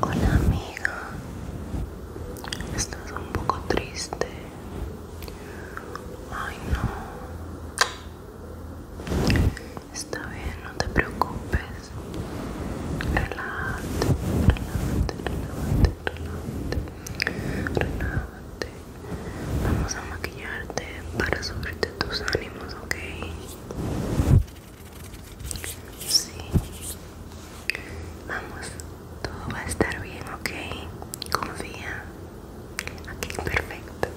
Hola amiga, estás un poco triste. Ay no. Está bien, no te preocupes. Relájate, relájate, relájate, relájate. Relájate. Vamos a maquillarte para subirte tus ánimos, ¿ok? Sí. Vamos, todo va a estar bien, ¿ok? Confía. Aquí, perfecto.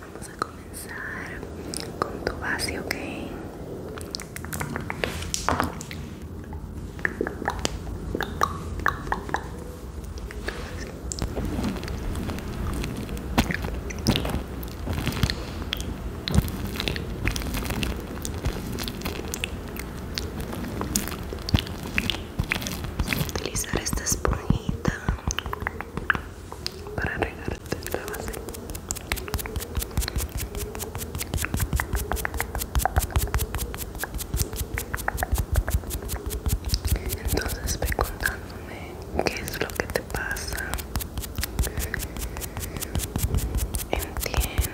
Vamos a comenzar con tu base, ¿ok? utilizar esta esponjita para regarte la base entonces ve contándome qué es lo que te pasa Entiendo.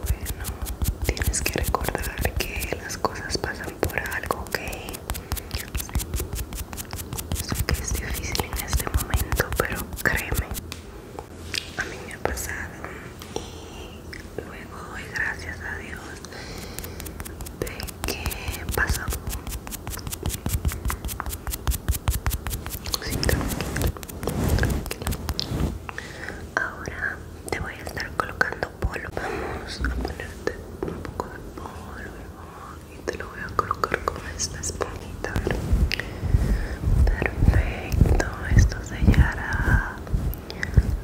Bueno, tienes que recordar que las cosas pasan por algo, ¿ok? Sé que es difícil en este momento, pero créeme, a mí me ha pasado y luego doy gracias a Dios de que pasó Ahora te voy a estar colocando polvo. Vamos a ponerte un poco de polvo y te lo voy a colocar con esta esponjita. Perfecto, esto sellará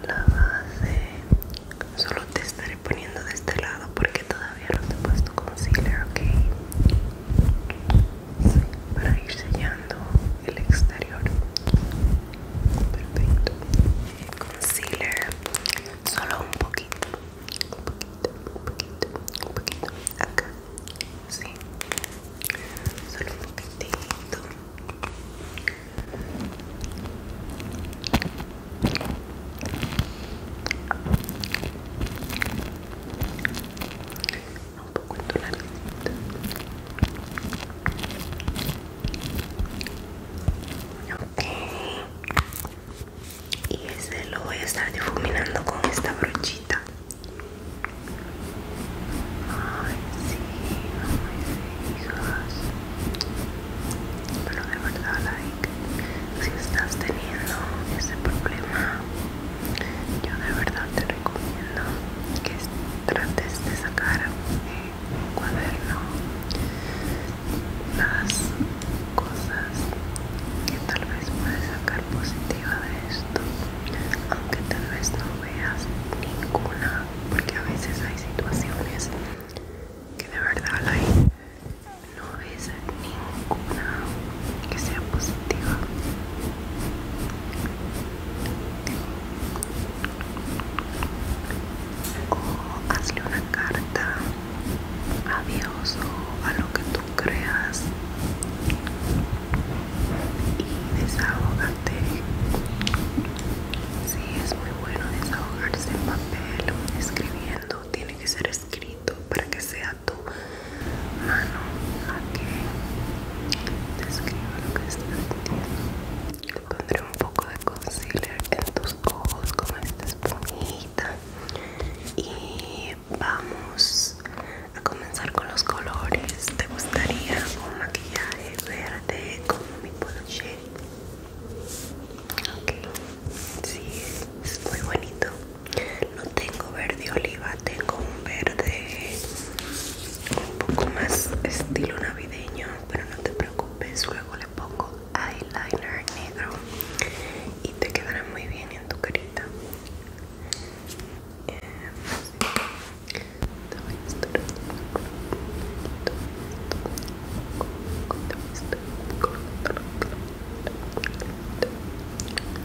la base. Solo te estaré poniendo de este lado porque todavía ya no te he puesto concealer, ok. Sí, para ir sellando el exterior. Perfecto. Concealer, solo un poquito. Un poquito, un poquito, un poquito. Acá. Sí. Solo un poquitito un poco en tu nariz okay. y este lo voy a estar difuminando con esta brochita ay sí, no me digas pero de verdad like si estás teniendo ese problema yo de verdad te recomiendo que trates de sacar en eh, un cuaderno las cosas que tal vez puedes sacar positiva de esto aunque tal vez no veas ninguna porque a veces hay situaciones que de verdad hay no ves ninguna que sea positiva o hazle una carta a Dios o a lo que tú creas y desahógate sí, es muy bueno desahogarse en papel escribiendo tiene que ser escrito para que sea tu mano la que te escriba lo que estás sintiendo. Pondré un poco de concealer en tus ojos como esta esponjita y vamos a comenzar con los colores. ¿Te gustaría un maquillaje verde como mi shade Ok, sí, es muy bonito no tengo verde oliva tengo un verde un poco más estilo navideño pero no te preocupes luego le pongo eyeliner negro y te quedará muy bien en tu carita eh,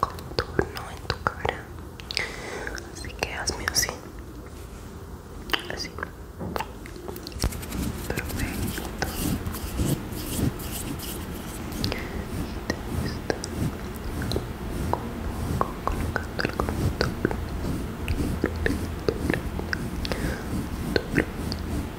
contorno en tu cara así que hazme así así perfecto el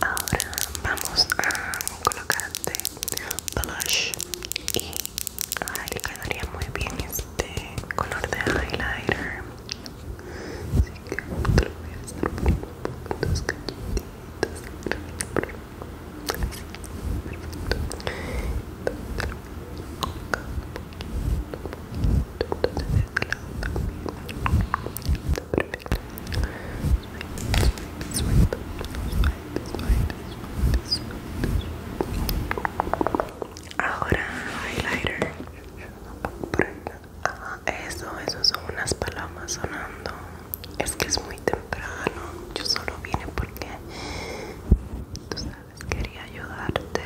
Ahora vamos a colocar de blush y le quedaría muy bien este color de highlighter. Así que te lo voy a hacer un poco en Ahora highlighter. Eso, eso son unas palomas sonando es que es muy temprano yo solo vine porque tú sabes quería ayudarte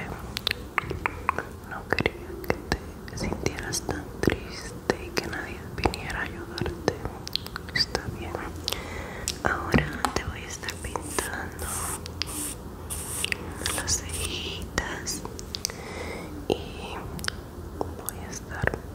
no quería que te sintieras tan triste y que nadie viniera a ayudarte está bien ahora te voy a estar pintando las cejitas y voy a estar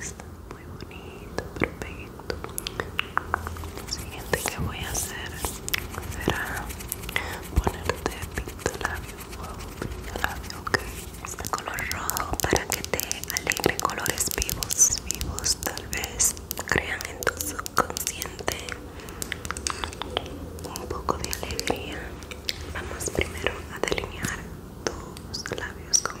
Está muy bonito, perfecto. Lo siguiente que voy a hacer será ponerte pintalabio labio labio ok. Este color rojo para que te alegre colores vivos, vivos tal vez crean en tu subconsciente un poco de alegría. Vamos primero a delinear tus labios con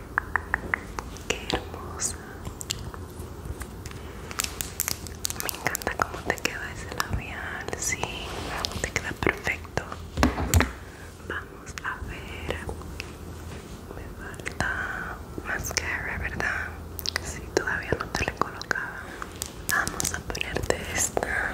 Qué hermosa. Me encanta cómo te queda ese labial. Sí, te queda perfecto. Vamos a ver. Me falta mascara, ¿verdad? si todavía no te la Vamos a ponerte esta.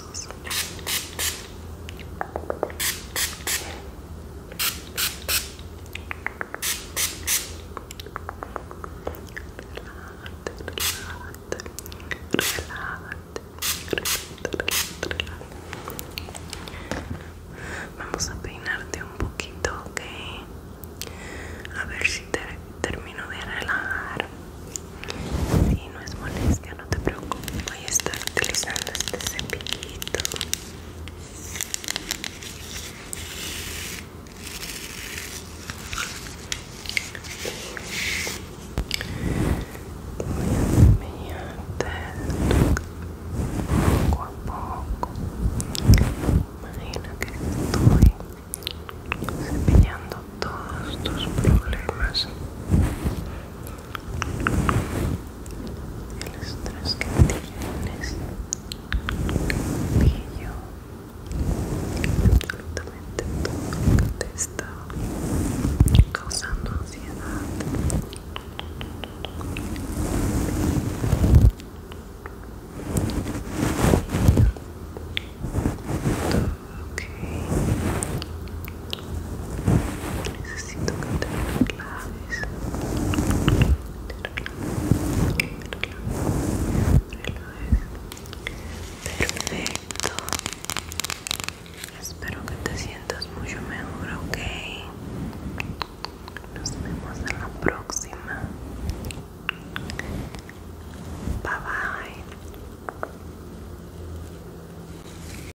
Vamos a peinarte un poquito, ok. A ver si te termino de relajar. Si no es molestia no te preocupes voy a estar utilizando este cepillito voy a poco a poco imagina que estoy cepillando todos tus problemas el estrés que tienes y yo absolutamente todo lo te está causando ansiedad todo lo Necesito que te relajes. Te Perfecto. Espero que te sientas mucho mejor, ¿ok? Nos vemos en la próxima. Bye bye.